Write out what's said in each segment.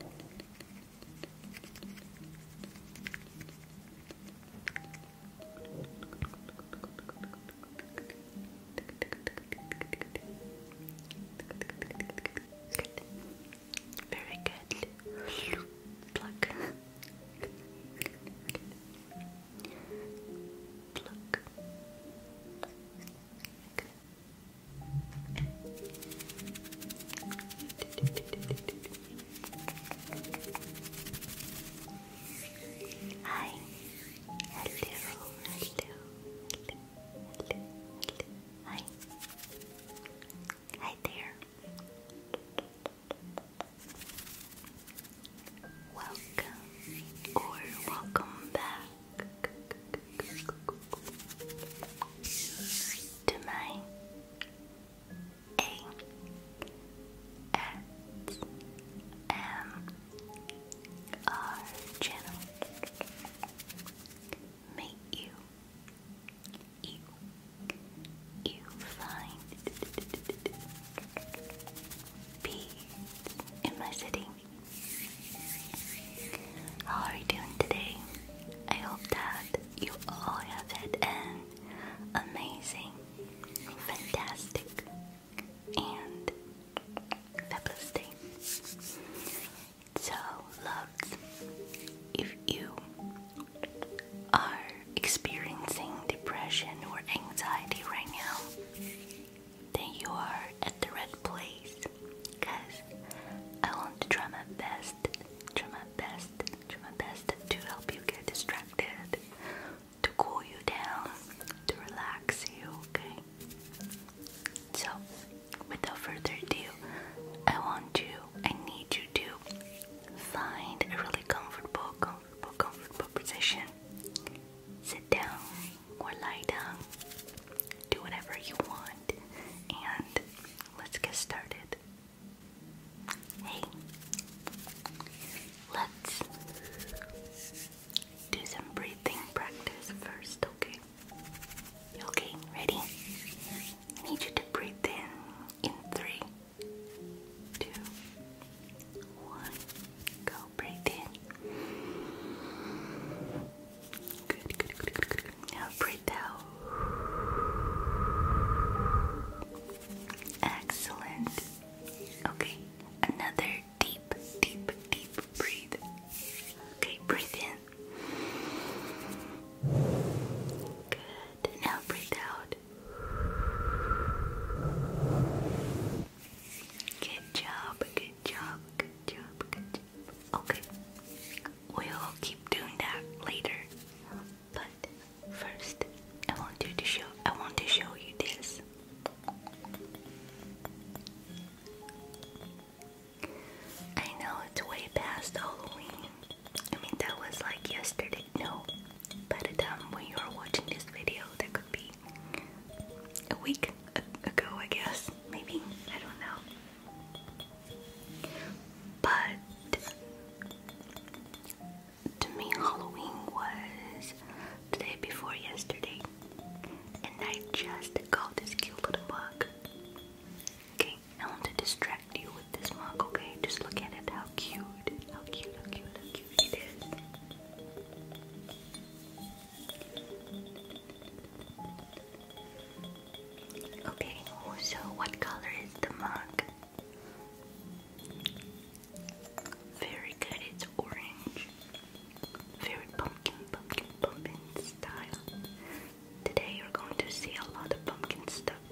Very good. Pluck. Pluck. Good. Hi. Hello. Hello. Hello. Hi. Hi there. Welcome or welcome back to my A S M R channel. May you you you find peace in my city. How are you doing today? I hope that you all have had an amazing, fantastic, and fabulous day. So, love if you are experiencing depression or anxiety right now, then you are at the right place. Guys, I want to try my best, try my best, try my best to help you get distracted, to cool you down, to relax you, okay? So, without further ado, I want to, I need you to find a really comfortable, comfortable, comfortable position. Sit down or lie down. Do whatever you want and let's get started. Hey, let's do some breathing practice first, okay? Okay, ready? I need you to breathe in in three, two, one. Go breathe in. Good, good, good, Now breathe out. Excellent. Okay, another deep, deep, deep breathe. Okay, breathe in. Good. Now breathe out. Good job, good job, good job, good job. Okay we'll keep doing that later. But first, I want you to show. I want to show you this. I know it's way past Halloween. I mean, that was like yesterday. No, by the time when you are watching this video, that could be a week ago, I guess. Maybe I don't know. But to me, Halloween was the day before yesterday, and I just got this cute little mug. Okay, I want to distract you with this mug, okay? Just look at it, how cute, how cute, how cute, how cute it is. Okay, so what color is the mug? Very good, it's orange. Very pumpkin, pumpkin, pumpkin style. Today you're going to see a lot of pumpkin stuff.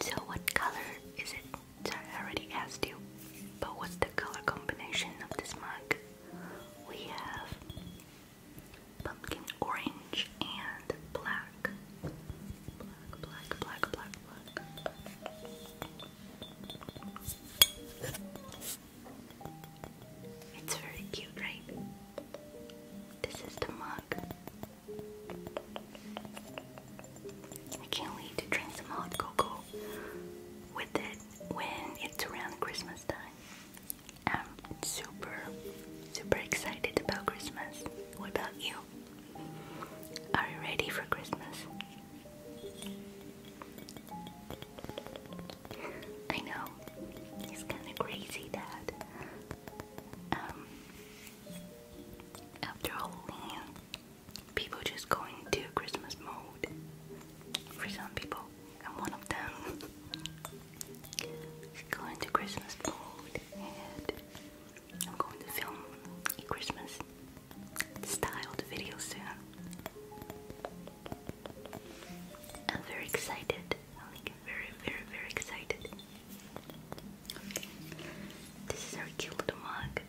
So, what color is it? I already asked you. But what's the color combination of this mug? We have pumpkin orange and black. Black, black, black, black, black. It's very cute, right? This is the mug. I can't wait to drink some hot cocoa with it when it's around Christmas time. I'm super, super excited about Christmas. What about you? Are you ready for Christmas? I know it's kind of crazy that um, after Halloween, people just go into Christmas mode for some people. I'm one of them. Just go into Christmas mode I'm going to film a Christmas styled video soon. I'm very excited. I'm very, very, very excited. This is our cute little mug.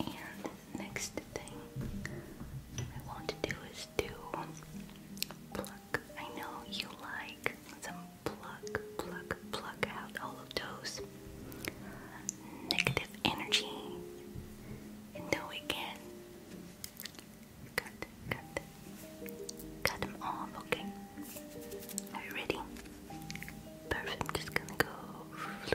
And next thing I want to do is do pluck. I know you like some pluck, pluck, pluck out all of those negative energy until we can cut, cut, cut them off. Okay, are you ready? Perfect. just gonna go.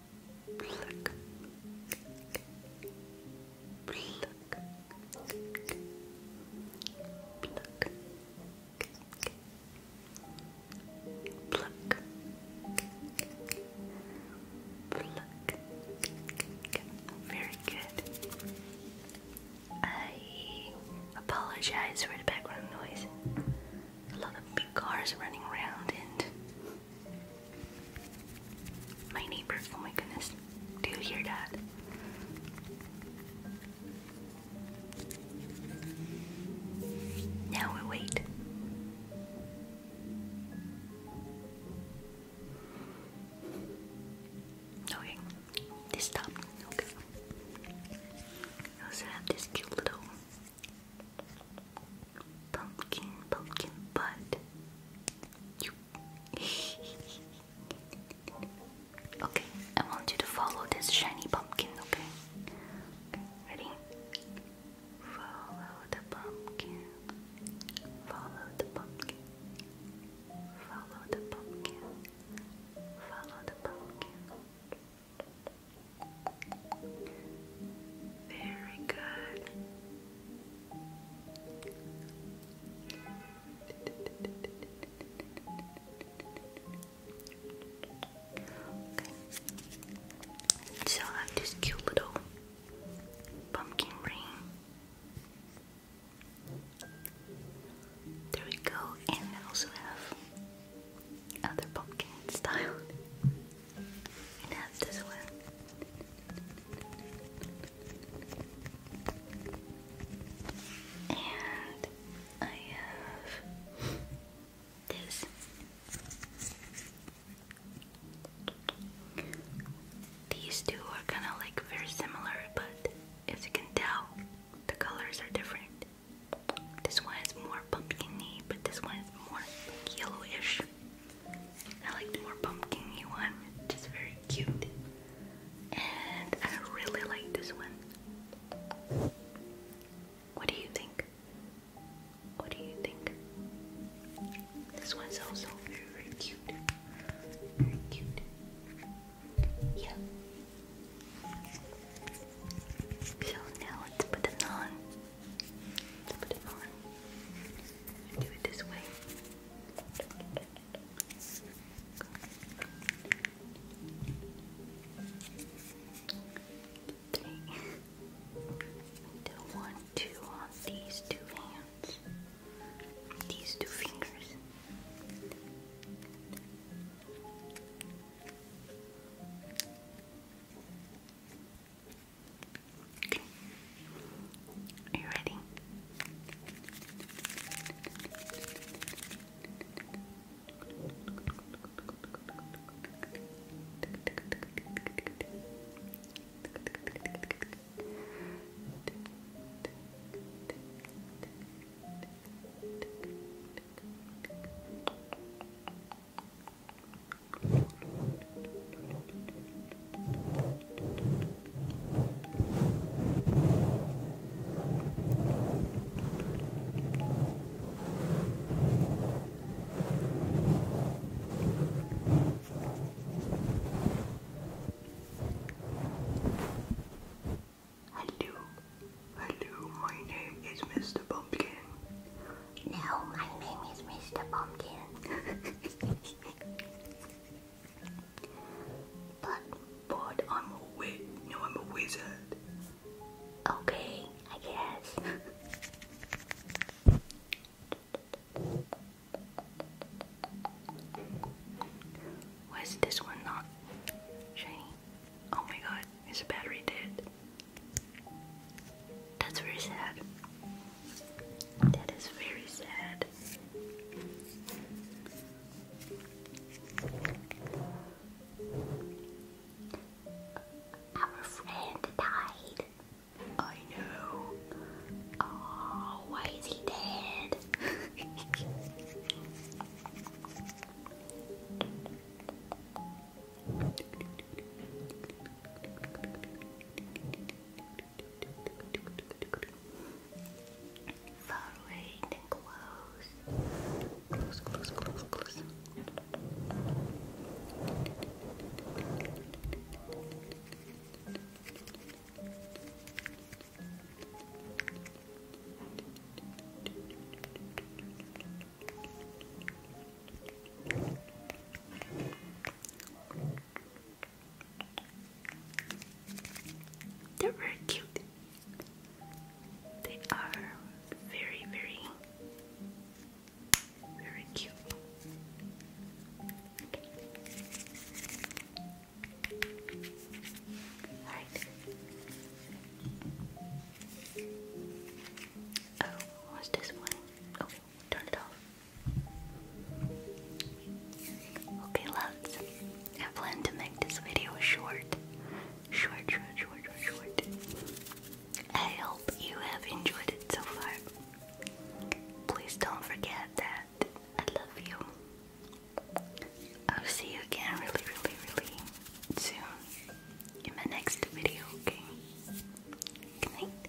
Very good. I apologize for the background noise. A lot of big cars running around and my neighbors, oh my goodness. Do you hear that? Now we wait. Okay, this stop. Okay. also have this cute little pumpkin, pumpkin butt. okay, I want you to follow this shiny pumpkin, okay ready? Follow the pumpkin. Follow the pumpkin. Follow the pumpkin. Follow the pumpkin. Very good. So I have this cute little pumpkin ring. There we go, and I also have other pumpkin style and have this one. And I have this. These two are kind of like very similar, but as you can tell, the colors are different. This one is more pumpkin but this one is more yellowish. I like more pumpkin one, which very cute. And I really like this one. What do you think? What do you think? This one's also very, very cute. Very cute. Yeah. So now let's put them on. Let's put it do it this way. Three. I on these two hands, these two fingers. Okay. Are you ready? Hello, hello, my name is Mr. Pumpkin. No, my name is Mr. Pumpkin. but, but I'm a wit. No, I'm a wizard. Okay, I guess. Why is this one not shiny? Oh my god, is the battery dead? That's very sad. That is very sad. Our friend died. I know. Oh, why is he dead? Far away and close. Close, close, close, close. Close, they're very cute. They are very, very, very cute. All right. Oh, what's this one? Okay, turn it off. Okay, lads. I plan to make this video Short, short, short, short, short. I hope you have enjoyed it so far. Please don't forget that I love you. I'll see you again really, really, really soon in my next video, okay? Good night.